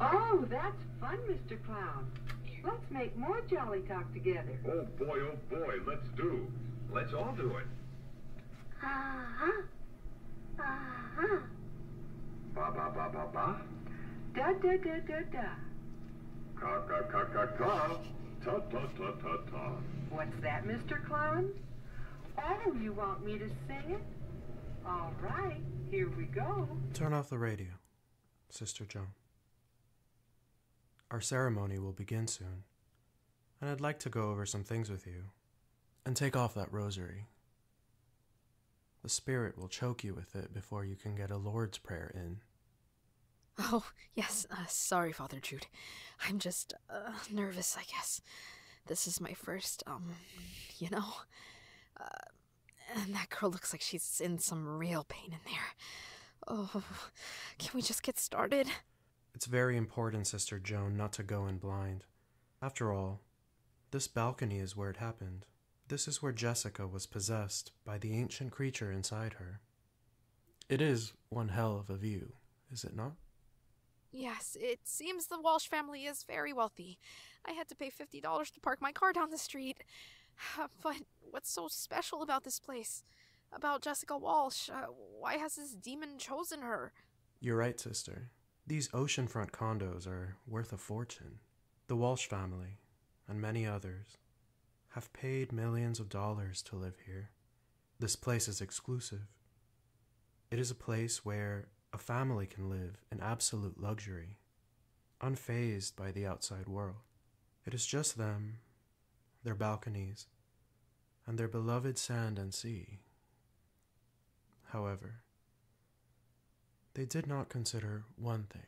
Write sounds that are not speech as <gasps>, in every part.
Oh, that's fun, Mr. Clown. Let's make more Jolly Talk together. Oh, boy, oh, boy, let's do. Let's all do it. Uh-huh. Uh-huh. Ba, ba, ba, ba, ba. Da, da, da, da, da. Ka, ka, ka, ka, ka. Ta ta ta ta ta. What's that, Mr. Clown? Oh, you want me to sing it? All right, here we go. Turn off the radio, Sister Joan. Our ceremony will begin soon, and I'd like to go over some things with you and take off that rosary. The Spirit will choke you with it before you can get a Lord's Prayer in. Oh, yes, uh, sorry, Father Jude. I'm just uh, nervous, I guess. This is my first, um, you know? Uh, and that girl looks like she's in some real pain in there. Oh, can we just get started? It's very important, Sister Joan, not to go in blind. After all, this balcony is where it happened. This is where Jessica was possessed by the ancient creature inside her. It is one hell of a view, is it not? Yes, it seems the Walsh family is very wealthy. I had to pay $50 to park my car down the street. <sighs> But what's so special about this place? About Jessica Walsh? Uh, why has this demon chosen her? You're right, sister. These oceanfront condos are worth a fortune. The Walsh family, and many others, have paid millions of dollars to live here. This place is exclusive. It is a place where a family can live in absolute luxury, unfazed by the outside world. It is just them, their balconies, and their beloved sand and sea. However, they did not consider one thing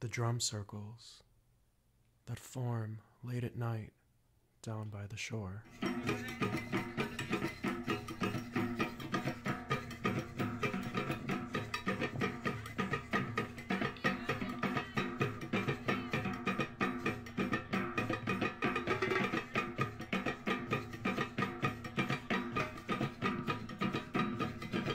the drum circles that form late at night down by the shore.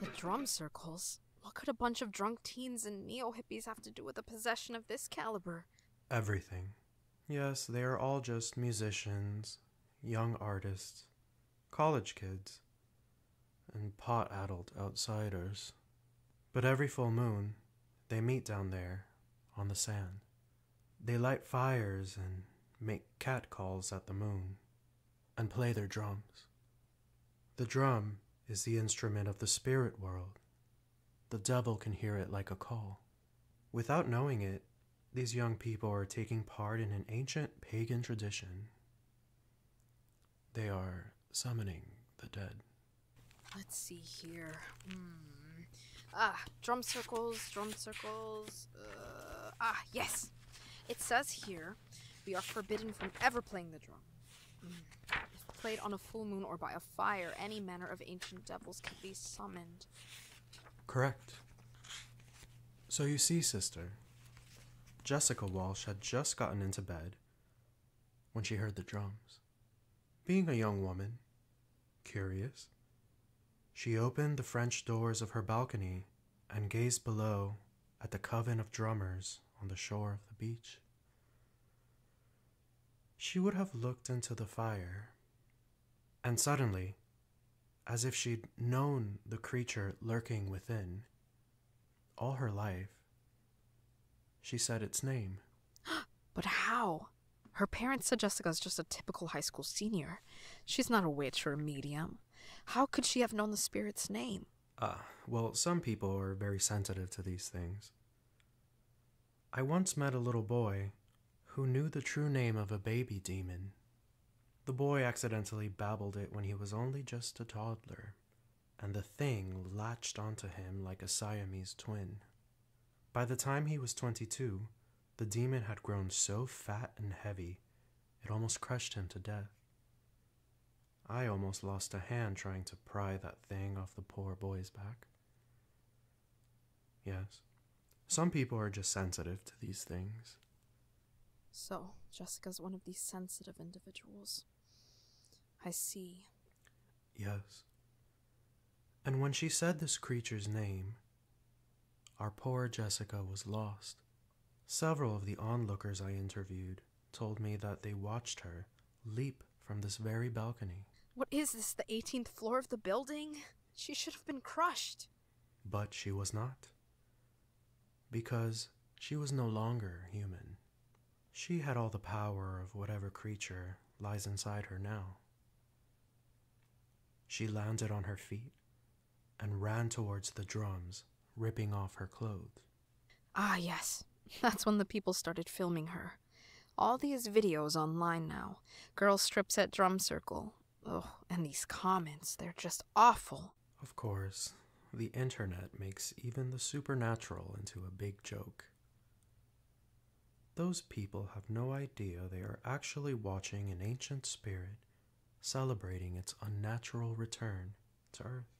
The drum circles? What could a bunch of drunk teens and neo hippies have to do with a possession of this caliber? Everything. Yes, they are all just musicians, young artists, college kids and pot addled outsiders. But every full moon, they meet down there on the sand. They light fires and make cat calls at the moon and play their drums. The drum is the instrument of the spirit world. The devil can hear it like a call. Without knowing it, these young people are taking part in an ancient pagan tradition. They are summoning the dead. Let's see here. Hmm. Ah, drum circles, drum circles. Uh, ah, yes. It says here we are forbidden from ever playing the drum. Hmm. If played on a full moon or by a fire, any manner of ancient devils can be summoned. Correct. So you see, sister, Jessica Walsh had just gotten into bed when she heard the drums. Being a young woman, curious, she opened the French doors of her balcony and gazed below at the coven of drummers on the shore of the beach. She would have looked into the fire, and suddenly, as if she'd known the creature lurking within, all her life, she said its name. <gasps> but how? Her parents said Jessica is just a typical high school senior. She's not a witch or a medium. How could she have known the spirit's name? Ah, well, some people are very sensitive to these things. I once met a little boy who knew the true name of a baby demon. The boy accidentally babbled it when he was only just a toddler, and the thing latched onto him like a Siamese twin. By the time he was 22, the demon had grown so fat and heavy, it almost crushed him to death. I almost lost a hand trying to pry that thing off the poor boy's back. Yes, some people are just sensitive to these things. So, Jessica's one of these sensitive individuals. I see. Yes. And when she said this creature's name, our poor Jessica was lost. Several of the onlookers I interviewed told me that they watched her leap from this very balcony. What is this, the 18th floor of the building? She should have been crushed. But she was not because she was no longer human. She had all the power of whatever creature lies inside her now. She landed on her feet and ran towards the drums, ripping off her clothes. Ah, yes. <laughs> That's when the people started filming her. All these videos online now. Girl strips at drum circle. Oh, and these comments, they're just awful. Of course, the internet makes even the supernatural into a big joke. Those people have no idea they are actually watching an ancient spirit celebrating its unnatural return to Earth.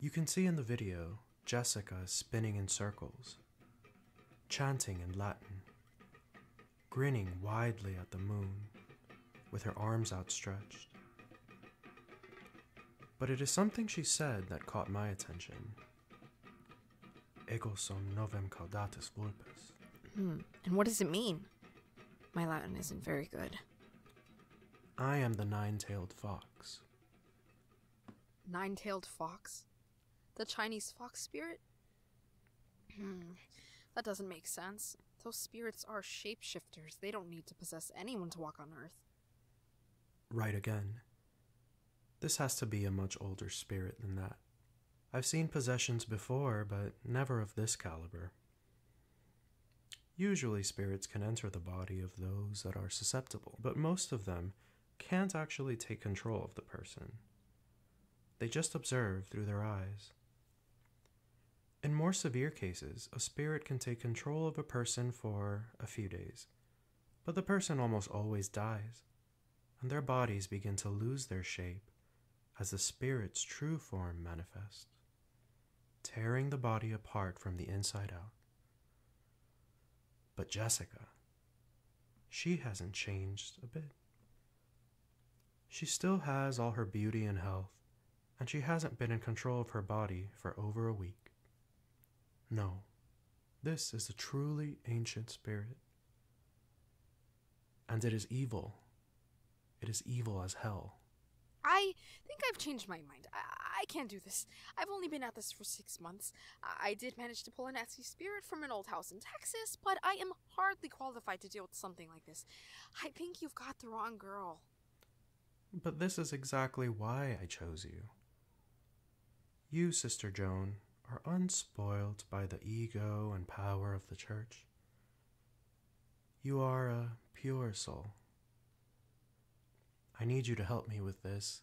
You can see in the video Jessica spinning in circles, chanting in Latin, grinning widely at the moon with her arms outstretched. But it is something she said that caught my attention. Ego sum novem caudatus vulpes. Hmm. And what does it mean? My Latin isn't very good. I am the nine tailed fox. Nine tailed fox? The Chinese fox spirit? Hmm. That doesn't make sense. Those spirits are shapeshifters. They don't need to possess anyone to walk on Earth. Right again. This has to be a much older spirit than that. I've seen possessions before, but never of this caliber. Usually, spirits can enter the body of those that are susceptible, but most of them can't actually take control of the person. They just observe through their eyes, in more severe cases, a spirit can take control of a person for a few days, but the person almost always dies, and their bodies begin to lose their shape as the spirit's true form manifests, tearing the body apart from the inside out. But Jessica, she hasn't changed a bit. She still has all her beauty and health and she hasn't been in control of her body for over a week. No, this is a truly ancient spirit. And it is evil. It is evil as hell. I think I've changed my mind. I, can't do this. I've only been at this for six months. I, did manage to pull an Etsy spirit from an old house in Texas, but I am hardly qualified to deal with something like this. I think you've got the wrong girl. But this is exactly why I chose you. You, Sister Joan, are unspoiled by the ego and power of the church. You are a pure soul. I need you to help me with this.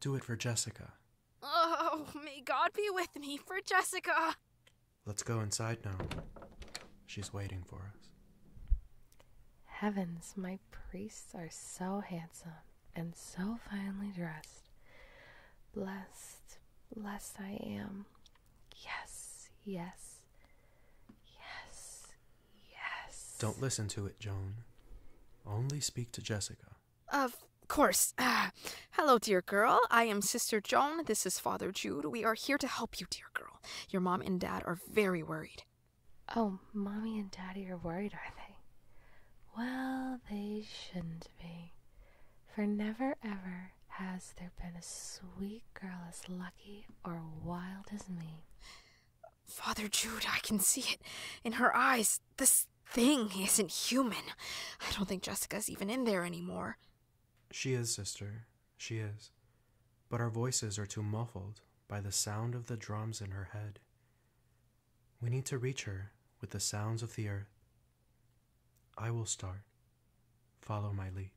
Do it for Jessica. Oh, may God be with me for Jessica. Let's go inside now. She's waiting for us. Heavens, my priests are so handsome and so finely dressed. Blessed, blessed I am. Yes, yes, yes, yes. Don't listen to it, Joan. Only speak to Jessica. Of course. Ah, hello, dear girl. I am Sister Joan. This is Father Jude. We are here to help you, dear girl. Your mom and dad are very worried. Oh, mommy and daddy are worried, are they? Well, they shouldn't be. For never ever has there been a sweet girl as lucky or wild as me. Father Jude, I can see it in her eyes. This thing isn't human. I don't think Jessica's even in there anymore. She is, sister, she is, but our voices are too muffled by the sound of the drums in her head. We need to reach her with the sounds of the earth. I will start. Follow my lead.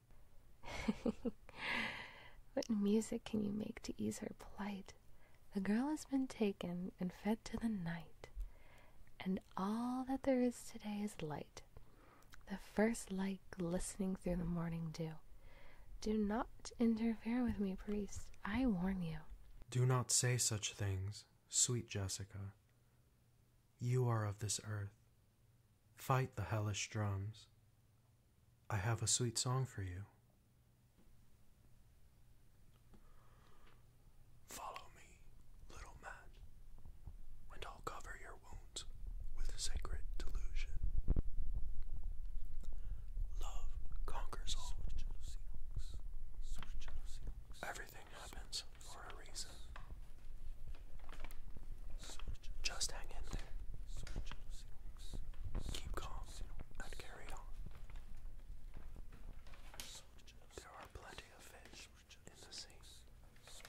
<laughs> what music can you make to ease her plight? The girl has been taken and fed to the night, and all that there is today is light the first light glistening through the morning dew. Do not interfere with me, priest. I warn you. Do not say such things, sweet Jessica. You are of this earth. Fight the hellish drums. I have a sweet song for you. Follow me, little man, and I'll cover your wounds with sacred delusion. Love conquers all. Everything happens for a reason. Just hang in there. Keep calm and carry on. There are plenty of fish in the sea.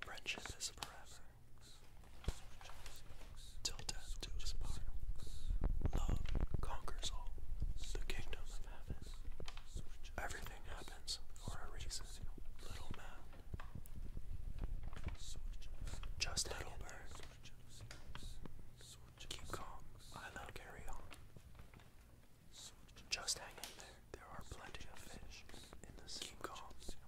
Friendship is forever. Till death do us part. Love conquers all. The kingdom of heaven. Everything happens for a reason. Little man. Just little bird. Keep calm. I'll carry Just hang in there. There are plenty of fish in the sea. Keep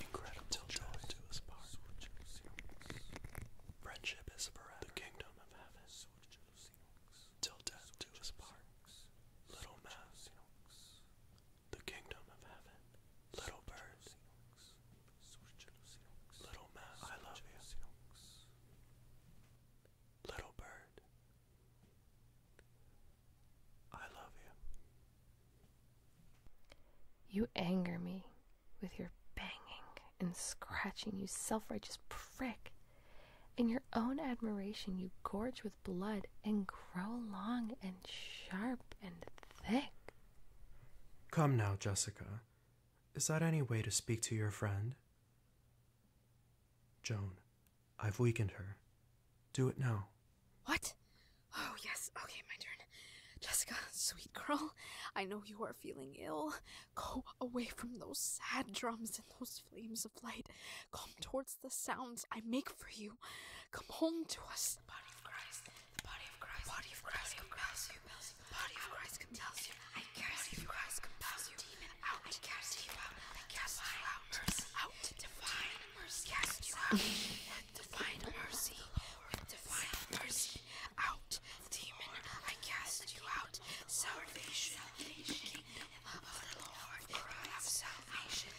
Incredible joy to us part. Friendship is forever. The kingdom of heaven. Till death do us part. Little mouse. The kingdom of heaven. Little bird. Little mouse. I love you. Little bird. I love you. You anger me with your banging and scratching, you self righteous prick. In your own admiration, you gorge with blood and grow long and sharp and thick. Come now, Jessica. Is that any way to speak to your friend? Joan, I've weakened her. Do it now. What? Oh, yes. Okay, my turn. Jessica, sweet girl, I know you are feeling ill. Go away from those sad drums and those flames of light. Come towards the sounds I make for you. Come home to us. The body of Christ. The body of Christ. The body of Christ compels you. The body of Christ compels you. I cast you Christ compels you. Demon out. I cast you out. I cast you out mercy. Out divine mercy. Yes, you are. divine mercy. With divine mercy. Out, demon. I cast you out. Salvation. The of the Lord. i have salvation.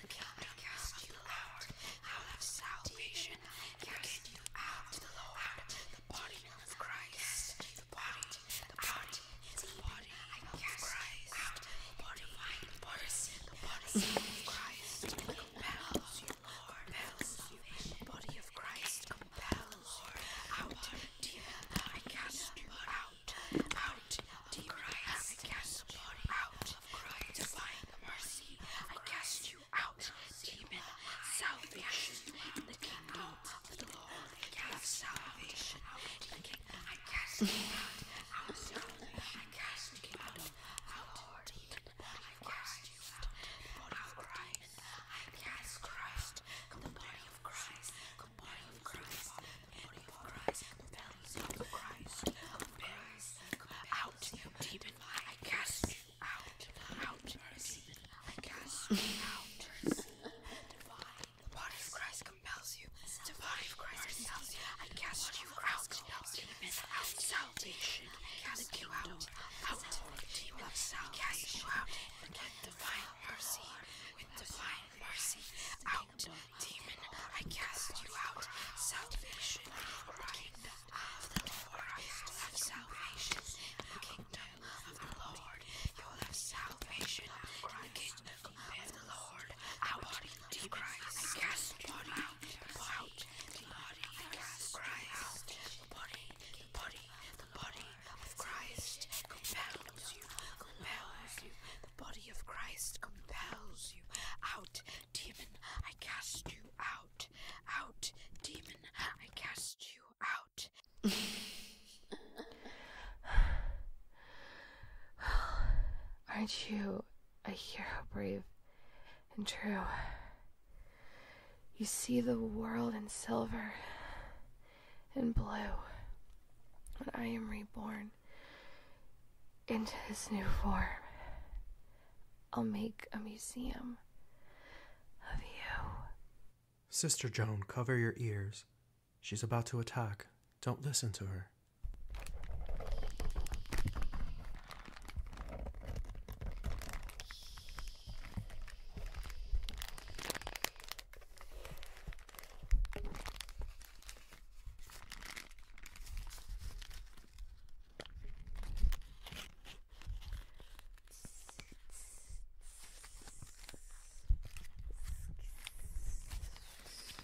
The I cast you out. i have salvation. Cast you out. The Lord. The body of Christ. The body. The body his body of Christ, the body of Christ, body of Christ compels you, Lord, the body of Christ compels, Lord, out, I cast you out, out of I cast the body out Christ, divine mercy, I cast you out, demon, salvation, the kingdom of the Lord, I cast salvation I cast you out. I was lonely. I cast you out. Out hard. I cast you out. Body of Christ. I cast Christ. The body of Christ. The body of Christ. The body of Christ. The values of Christ. Of Christ. Out, you demon. I cast you out. Out, mercy. I cast you out. Mercy. <laughs> Divine. What if Christ compels you? The body of Christ compels you and casts you out out salvation. Cast you out, out you of salvation. Cast you out with divine mercy, with divine mercy. Out, demon, I cast you out. Salvation, the kingdom of the Lord. You'll have salvation in the kingdom of the Lord. You'll have salvation in the kingdom of the Lord, out of Christ, cast the out, the body of Christ compels you out, demon, I cast you out, out, demon, I cast you out. <laughs> <sighs> aren't you a hero, brave and true? You see the world in silver and blue when I am reborn into this new form. I'll make a museum of you. Sister Joan, cover your ears. She's about to attack. Don't listen to her.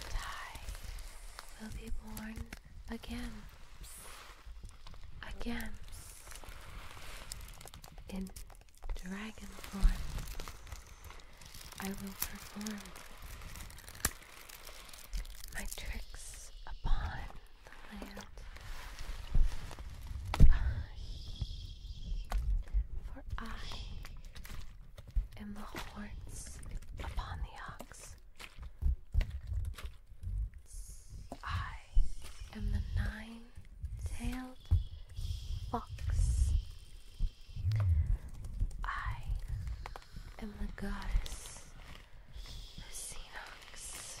and I will be born again, again, in dragon form. I will perform my tricks upon the land. Ah, for I and the horns upon the ox. I am the nine tailed fox. I am the goddess of Xenox.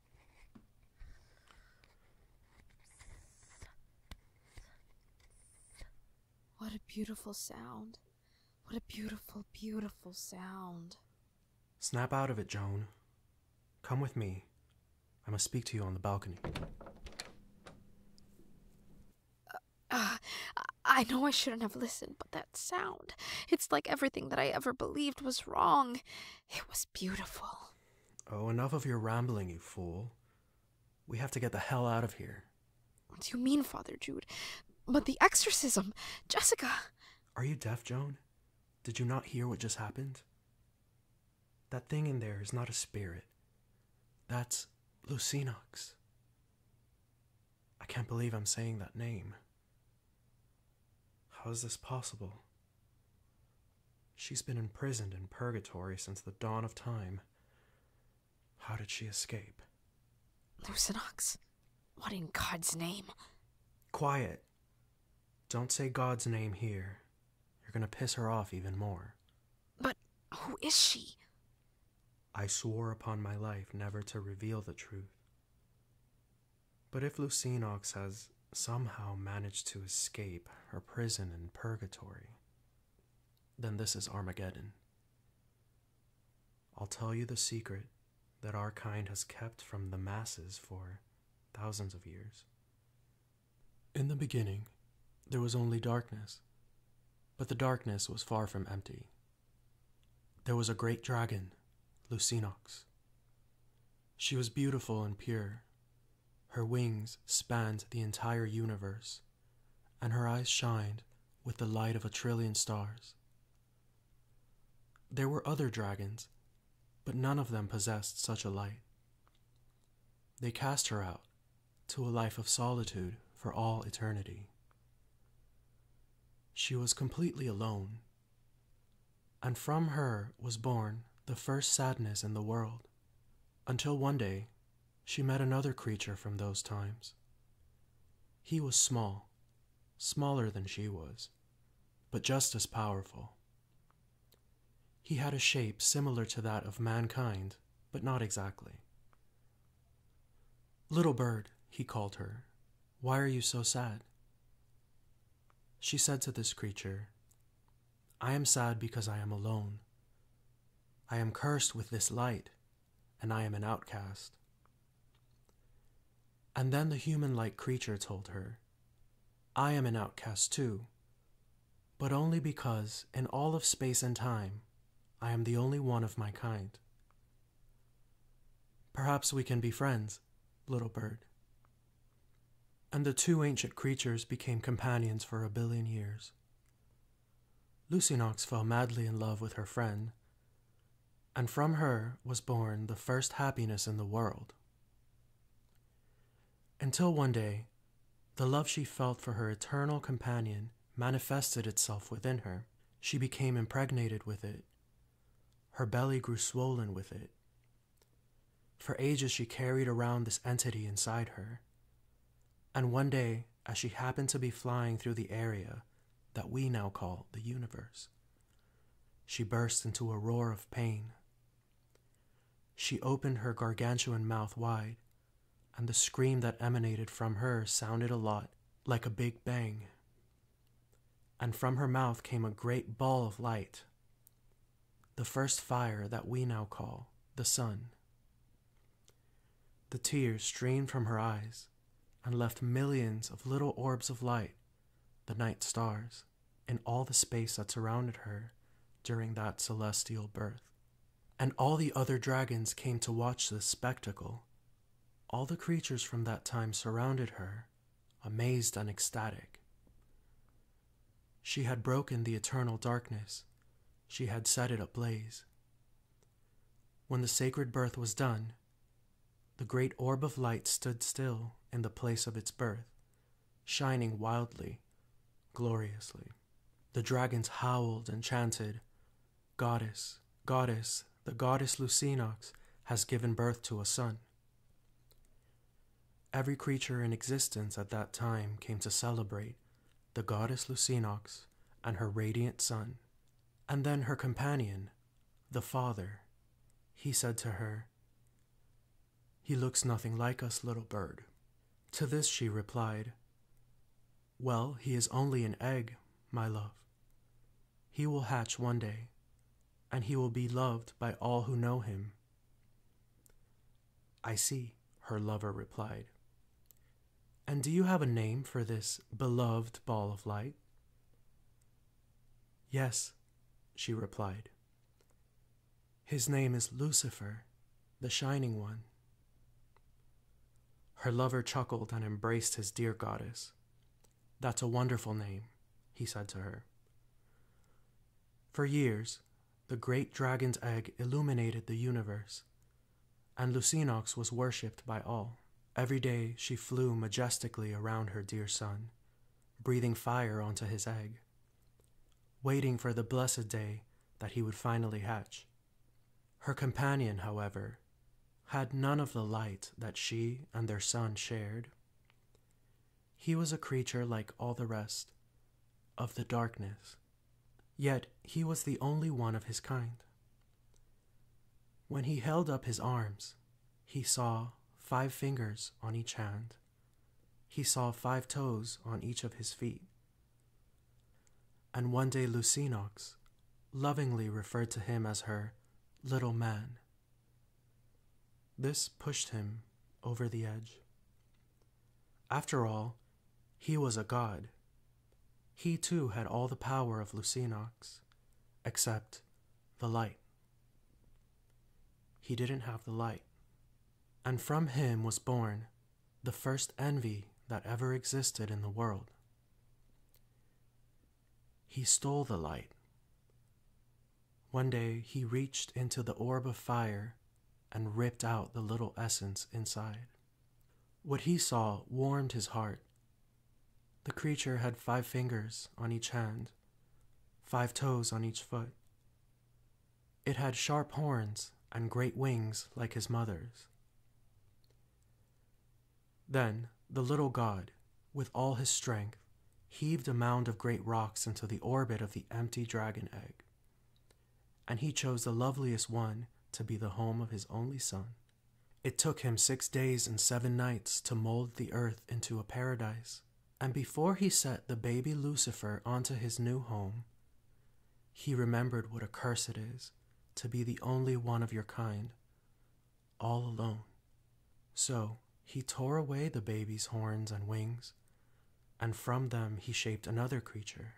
What a beautiful sound. What a beautiful, beautiful sound. Snap out of it, Joan. Come with me. I must speak to you on the balcony. Uh, uh I know I shouldn't have listened, but that sound. It's like everything that I ever believed was wrong. It was beautiful. Oh, enough of your rambling, you fool. We have to get the hell out of here. What do you mean, Father Jude? But the exorcism! Jessica! Are you deaf, Joan? Did you not hear what just happened? That thing in there is not a spirit. That's Lucinox. I can't believe I'm saying that name. How is this possible? She's been imprisoned in purgatory since the dawn of time. How did she escape? Lucanox? What in God's name? Quiet. Don't say God's name here. You're gonna piss her off even more. But who is she? I swore upon my life never to reveal the truth. But if Lucinox has somehow managed to escape her prison in purgatory, then this is Armageddon. I'll tell you the secret that our kind has kept from the masses for thousands of years. In the beginning, there was only darkness, but the darkness was far from empty. There was a great dragon, Lucinox. She was beautiful and pure. Her wings spanned the entire universe, and her eyes shined with the light of a trillion stars. There were other dragons, but none of them possessed such a light. They cast her out to a life of solitude for all eternity. She was completely alone and from her was born the first sadness in the world, until one day she met another creature from those times. He was small, smaller than she was, but just as powerful. He had a shape similar to that of mankind, but not exactly. Little bird, he called her, why are you so sad? She said to this creature, I am sad because I am alone. I am cursed with this light, and I am an outcast. And then the human like creature told her, I am an outcast too, but only because, in all of space and time, I am the only one of my kind. Perhaps we can be friends, little bird, and the two ancient creatures became companions for a billion years. Lucinox fell madly in love with her friend, and from her was born the first happiness in the world. Until one day, the love she felt for her eternal companion manifested itself within her. She became impregnated with it. Her belly grew swollen with it, for ages, she carried around this entity inside her. And one day, as she happened to be flying through the area that we now call the universe, she burst into a roar of pain. She opened her gargantuan mouth wide, and the scream that emanated from her sounded a lot like a big bang and from her mouth came a great ball of light, the first fire that we now call the sun. The tears streamed from her eyes and left millions of little orbs of light, the night stars, in all the space that surrounded her during that celestial birth. And all the other dragons came to watch this spectacle. All the creatures from that time surrounded her amazed and ecstatic. She had broken the eternal darkness, she had set it ablaze. When the sacred birth was done, the great orb of light stood still in the place of its birth, shining wildly, gloriously. The dragons howled and chanted, Goddess, goddess, the goddess Lucinox has given birth to a son. Every creature in existence at that time came to celebrate the goddess Lucinox and her radiant son. And then her companion, the father, he said to her, He looks nothing like us, little bird. To this she replied, Well, he is only an egg, my love. He will hatch one day, and he will be loved by all who know him. I see, her lover replied. And do you have a name for this beloved ball of light? Yes, she replied. His name is Lucifer, the Shining One. Her lover chuckled and embraced his dear goddess. That's a wonderful name, he said to her. For years, the great dragon's egg illuminated the universe, and Lucinox was worshipped by all. Every day she flew majestically around her dear son, breathing fire onto his egg, waiting for the blessed day that he would finally hatch. Her companion, however, had none of the light that she and their son shared. He was a creature like all the rest, of the darkness, yet he was the only one of his kind. When he held up his arms, he saw five fingers on each hand. He saw five toes on each of his feet. And one day Lucinox lovingly referred to him as her little man. This pushed him over the edge. After all, he was a god. He too had all the power of Lucinox, except the light. He didn't have the light. And from him was born the first envy that ever existed in the world. He stole the light. One day he reached into the orb of fire and ripped out the little essence inside. What he saw warmed his heart. The creature had five fingers on each hand, five toes on each foot. It had sharp horns and great wings like his mother's. Then the little god, with all his strength, heaved a mound of great rocks into the orbit of the empty dragon egg. And he chose the loveliest one to be the home of his only son. It took him six days and seven nights to mold the earth into a paradise, and before he set the baby Lucifer onto his new home, he remembered what a curse it is to be the only one of your kind, all alone. So he tore away the baby's horns and wings, and from them he shaped another creature.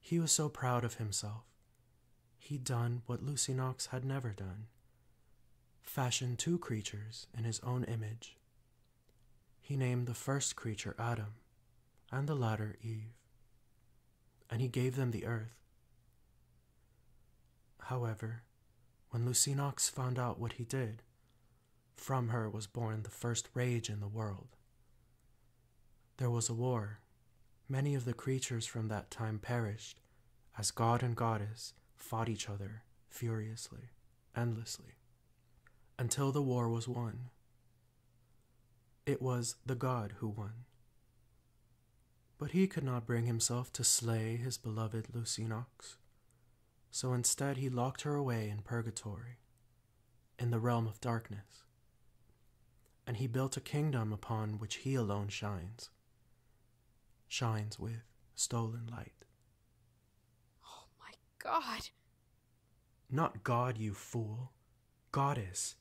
He was so proud of himself. He'd done what Lucy Knox had never done fashioned two creatures in his own image. He named the first creature Adam, and the latter Eve, and he gave them the earth. However, when Lucinox found out what he did, from her was born the first rage in the world. There was a war. Many of the creatures from that time perished, as god and goddess fought each other furiously, endlessly, until the war was won. It was the god who won. But he could not bring himself to slay his beloved Lucinox, so instead he locked her away in purgatory, in the realm of darkness, and he built a kingdom upon which he alone shines, shines with stolen light. Oh my god! Not god, you fool. Goddess.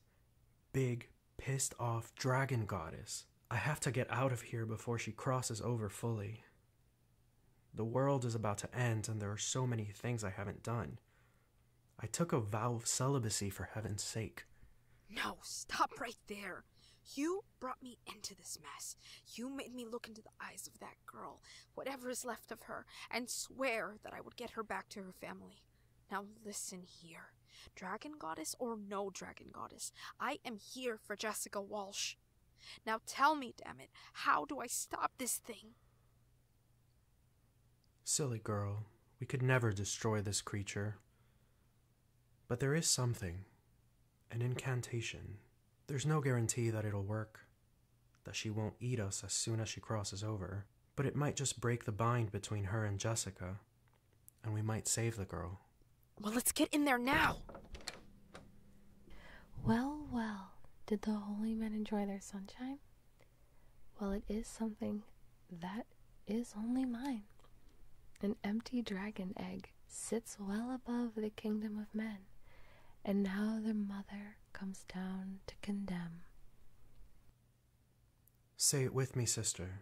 Big, pissed off dragon goddess. I have to get out of here before she crosses over fully. The world is about to end, and there are so many things I haven't done. I took a vow of celibacy for heaven's sake. No, stop right there. You brought me into this mess. You made me look into the eyes of that girl, whatever is left of her, and swear that I would get her back to her family. Now listen here. Dragon goddess or no dragon goddess, I am here for Jessica Walsh. Now tell me, damn it, how do I stop this thing? Silly girl, we could never destroy this creature. But there is something an incantation. There's no guarantee that it'll work, that she won't eat us as soon as she crosses over, but it might just break the bind between her and Jessica, and we might save the girl. Well, let's get in there now! Well, well, did the holy men enjoy their sunshine? Well, it is something that is only mine. An empty dragon egg sits well above the kingdom of men, and now their mother comes down to condemn. Say it with me, sister.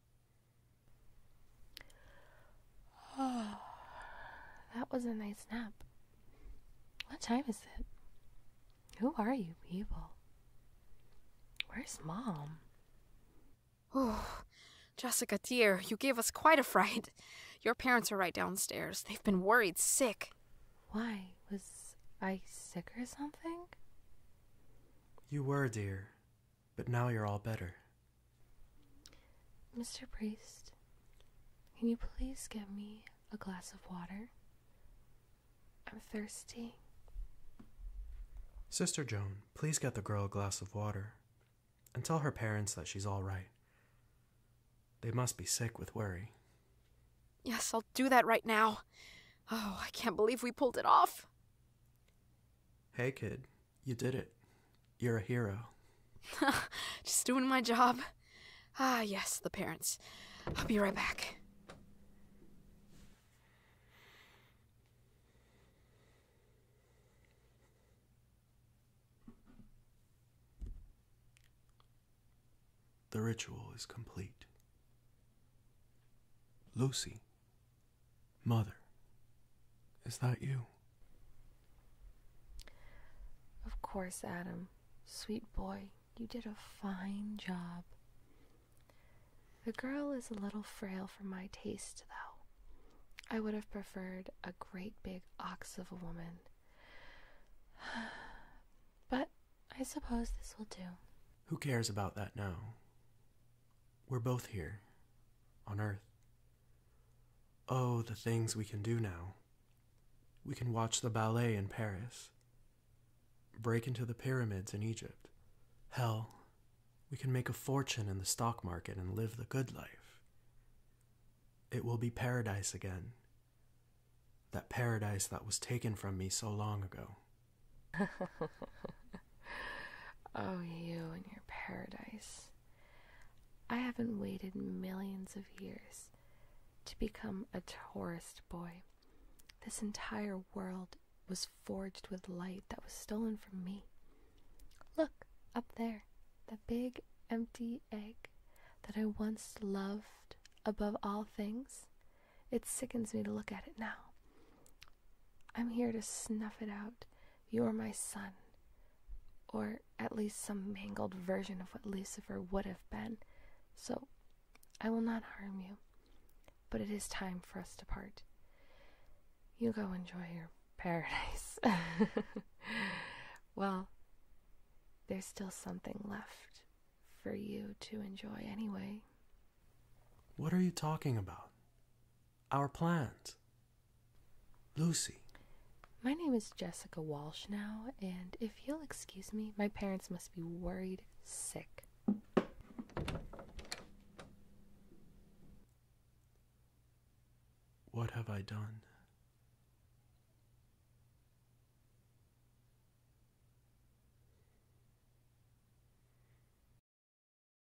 Oh, <sighs> that was a nice nap. What time is it? Who are you people? Where's mom? Oh, Jessica, dear, you gave us quite a fright. Your parents are right downstairs. They've been worried sick. Why? Was I sick or something? You were, dear. But now you're all better. Mr. Priest, can you please get me a glass of water? I'm thirsty. Sister Joan, please get the girl a glass of water and tell her parents that she's all right. They must be sick with worry. Yes, I'll do that right now. Oh, I can't believe we pulled it off. Hey, kid, you did it. You're a hero. <laughs> Just doing my job. Ah, yes, the parents. I'll be right back. The ritual is complete. Lucy, Mother, is that you? Of course, Adam. Sweet boy, you did a fine job. The girl is a little frail for my taste, though. I would have preferred a great big ox of a woman. <sighs> but I suppose this will do. Who cares about that now? We're both here, on Earth. Oh, the things we can do now. We can watch the ballet in Paris, break into the pyramids in Egypt. Hell, we can make a fortune in the stock market and live the good life. It will be paradise again. That paradise that was taken from me so long ago. <laughs> oh, you and your paradise. I haven't waited millions of years to become a tourist boy. This entire world was forged with light that was stolen from me. Look up there, the big empty egg that I once loved above all things. It sickens me to look at it now. I'm here to snuff it out you are my son, or at least some mangled version of what Lucifer would have been, so I will not harm you. But it is time for us to part. You go enjoy your paradise. <laughs> well, there's still something left for you to enjoy anyway. What are you talking about? Our plans. Lucy. My name is Jessica Walsh now, and if you'll excuse me, my parents must be worried sick. What have I done?